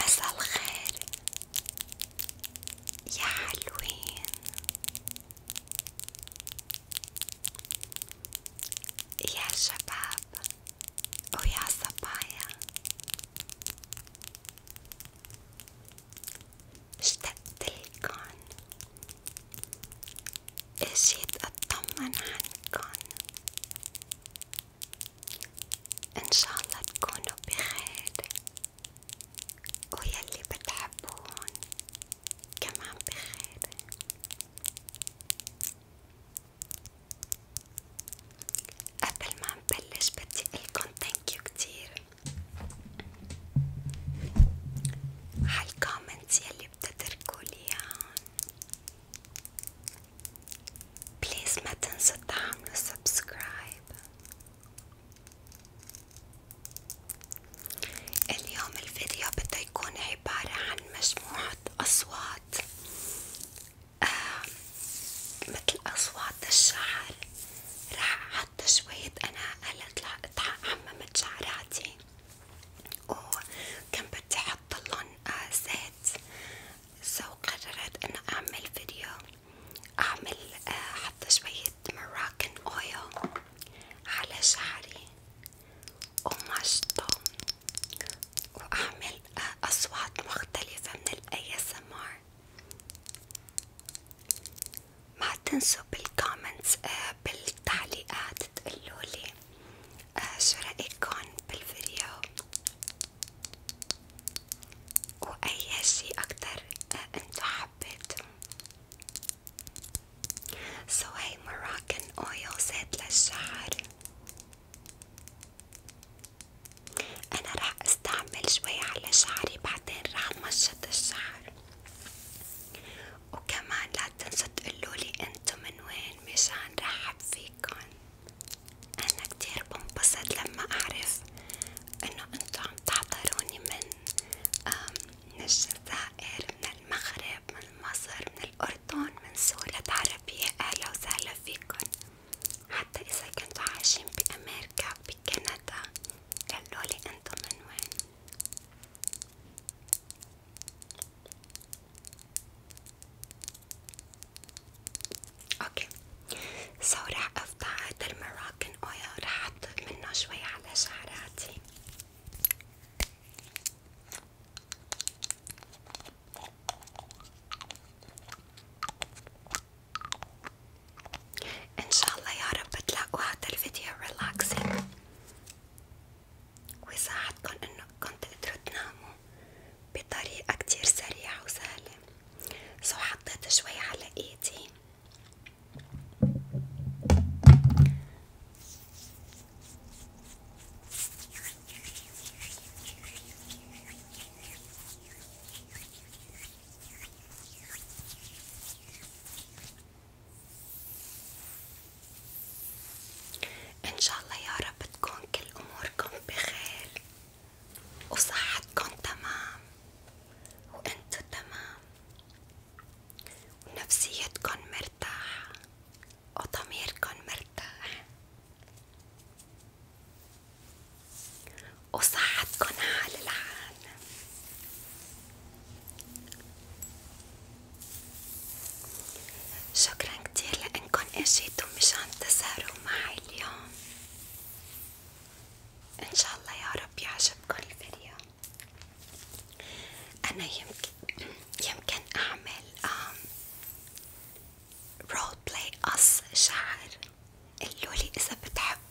مساء الخير يا حلوين يا شباب ويا صبايا اشتقتلكن اجيت اطمن عنكن ان شاء الله تكونوا بخير ويلي بتحبون كمان بخير قبل ما نبلش بدي قلكن ثانكيو كتير على الكومنتس يلي بتتركولي بليز ما تنسوا تعملوا سبسكرايب اليوم الفيديو بده يكون عبارة عن مجموعة أصوات آه مثل أصوات الشعر رح حط شوية أنا هلا عممت شعراتي وكان بدي احط لهم زيت سو قررت انه اعمل فيديو اعمل آه، احط شوية مراكن اويل على شعري ومشطه واعمل آه، اصوات مختلفة من الاي اس ما تنسوا بالكومنتس آه، بالتعليقات تقولولي آه، شو رأيكن بالفيديو وأي شي أكتر آه، انتو حبيتو سو مراكن اويل زيت للشعر أنا رح استعمل شوي على شعري بعدين رح مشط الشعر وكمان لا تنسى تقولولي انتو من وين مشان رحب فيكن انا كتير بنبسط لما اعرف انو انتو عم تحضروني من من الجزائر من المغرب من مصر من الاردن من سوريا العربية اهلا وسهلا فيكن حتى اذا كنتو عايشين بامريكا بكندا قلولي انتو من وين اوكي سو رح افتح هذا المراكن اويل رح احط منه شوي على شعراتي ان شاء الله يا رب تلاقوا هذا الفيديو ريلاكسينج وساعدكن انكم تقدروا تناموا بطريقة كتير سريعة وسهلة، سو حطيت شوي على ايدي ان شاء الله يا رب تكون كل اموركم بخير وصحتكم تمام وانتو تمام ونفسيتكن مرتاحة وضميركن مرتاح وصحتكن حال العالم شكرا كتير لأنكن اجيتوا مشان تسهروا معي اليوم ان شاء الله يا رب يعجبكن الفيديو انا يمكن يمكن اعمل رول بلاي قص شعر قلولي اذا بتحبوا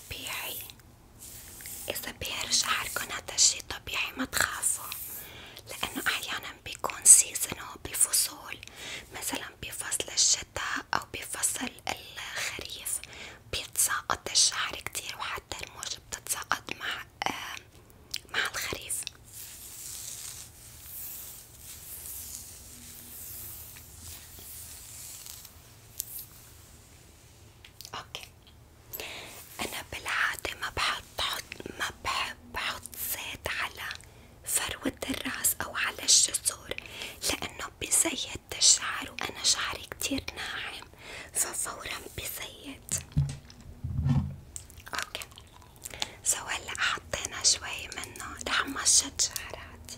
طبيعي إذا بيهر شعركن هذا الشي طبيعي ما تخافوا لأنه أحيانا بيكون سيزن هو بفصول مثلا بفصل الشتاء أو بفصل الخريف بيتساقط الشعر كتير وحتى الموجة بتتساقط مع آه مع الخريف اوكي انا بالعادة ما بحط حط ما بحب احط زيت على فروة الراس او على الجسور لانه بزيت الشعر وانا شعري كتير ناعم ففورا بزيت اوكي سو هلا حطينا شوي منه رح مشط شعراتي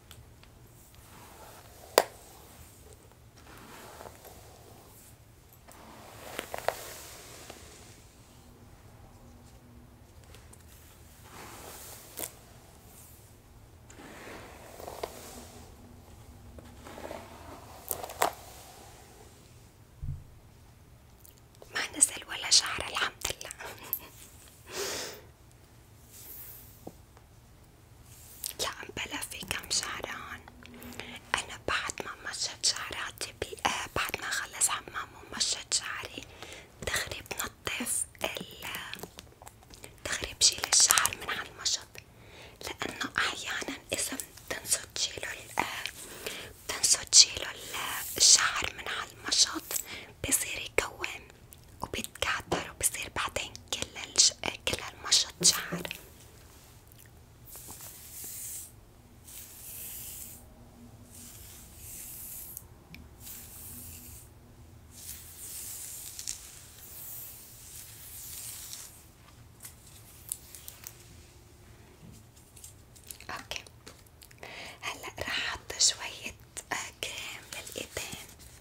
ما نزل ولا شعر الحمد لله يعني بلا في كم شعران أنا بعد ما مشت شعراتي آه بعد ما خلص حمام ومشت شعري دغري بنطف دغري بشيل الشعر من على المشط لأنه أحيانا إذا بتنسوا تشيلوا بتنسوا تشيلوا الشعر من على المشط بصير يكون وبيتكعتر وبصير بعدين كل الج... كل المشط شعر اوكي هلا رح احط شوية آه، كريم للايدين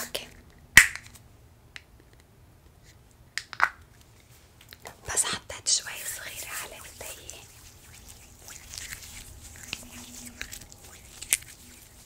اوكي بس حطيت شوي صغيرة على ايدي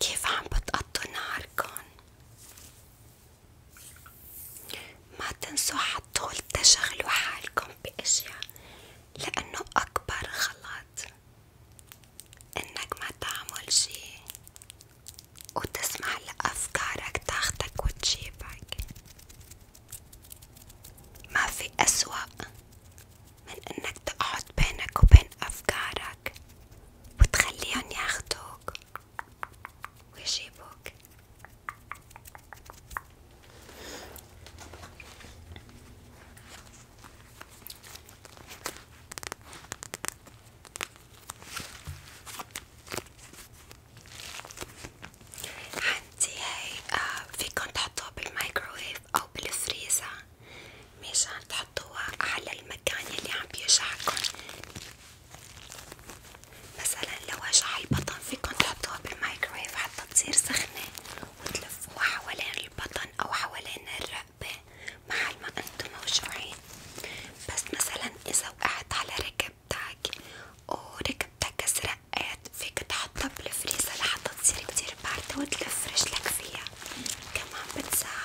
كيف عم بتقطوا نهاركن؟ ما تنسوا حتطول تشغلوا حالكم بأشياء لأنه أكبر غلط إنك ما تعمل شي وتسمح لأفكارك تاخدك وتجيبك ما في أسوأ من إنك تقعد بينك وبين أفكارك وتخليهم ياخدوك ويجيبوك عندي هاي آه فيكن تحطوها بالمايكروويف أو بالفريزر مشان تحطوها على المكان يلي عم بيوجعكن مثلا لو وجع البطن فيكن تحطوها بالمايكروويف حتى تصير سخنة وتلفوها حوالين البطن أو حوالين الرأس حباه محل ما انتم موجوعين بس مثلا اذا وقعت على ركبتك وركبتك سرقت فيك تحطها بالفريزر لحتى تصير كتير باردة وتلف رجلك فيها كمان بتساعد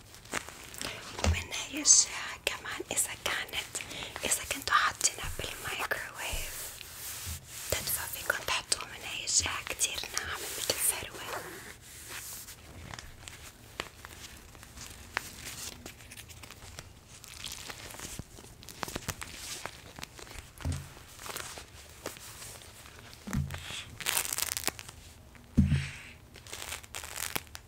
ومن هاي الشاي كمان إذا كانت إذا كنتوا حاطينها بالمايكروويف تدفى فيكن تحطوه من هاي الجهة كتير ناعم متل فروة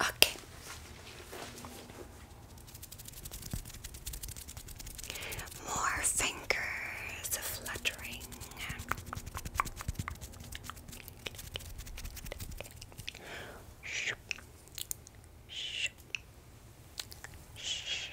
Okay. More fingers fluttering. Shoop. Shoop. Shoop.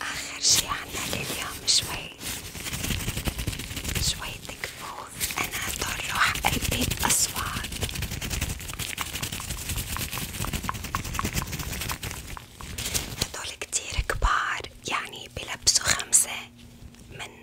آخر شي عنا لليوم شوي شوي تكفوف أنا طرح قلبي بأصوات هدول كتير كبار يعني بلبسوا خمسة من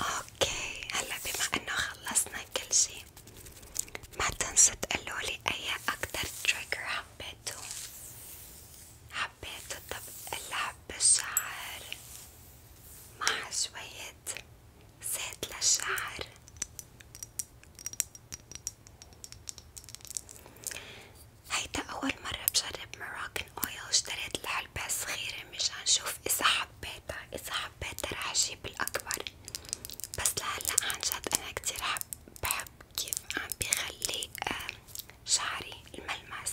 اوكي هلا بما انه خلصنا كل شي ما تنسوا تقولولي اي اكتر تريجر حبيتو حب حبيت الطبق اللعب بالشعر مع شوية زيت للشعر هيدا أول مرة بجرب مراكن أويل اشتريت العلبة الصغيرة مشان شوف إذا حبيتها إذا حبيتها رح أجيب الأكبر بس لهلأ عنجد أنا كتير حب بحب كيف عم بخلي شعري الملمس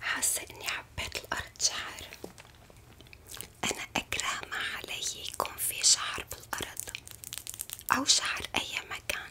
حاسة اني حبيت الارض شعر انا اكره ما علي يكون في شعر بالارض او شعر اي مكان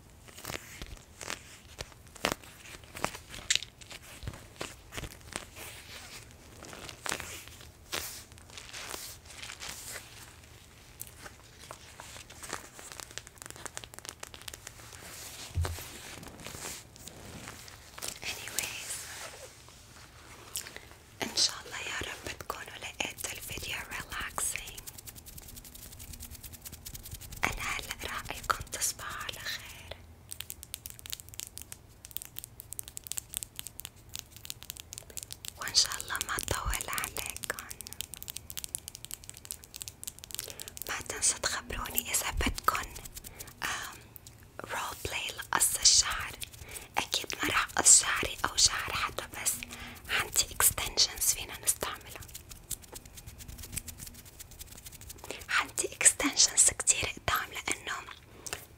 anyways ان شاء الله يا رب تكونوا لقيتوا الفيديو relaxing أنا هلأ رأيكم تصبحوا على خير وإن شاء الله ما أطول عليكم ما تنسوا تخبروني إذا بدكن رول بلاي لقص الشعر أكيد ما راح قص شعري أو شعر حدا بس عندي اكستنشنز فينا نستعملها عندي اكستنشنز كتير قدام لأنه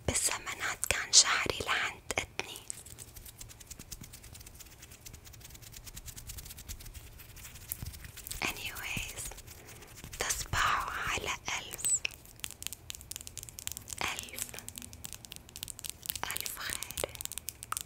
بالزمانات كان شعري لعند أدني anyways تصبحوا على ألف ألف ألف خير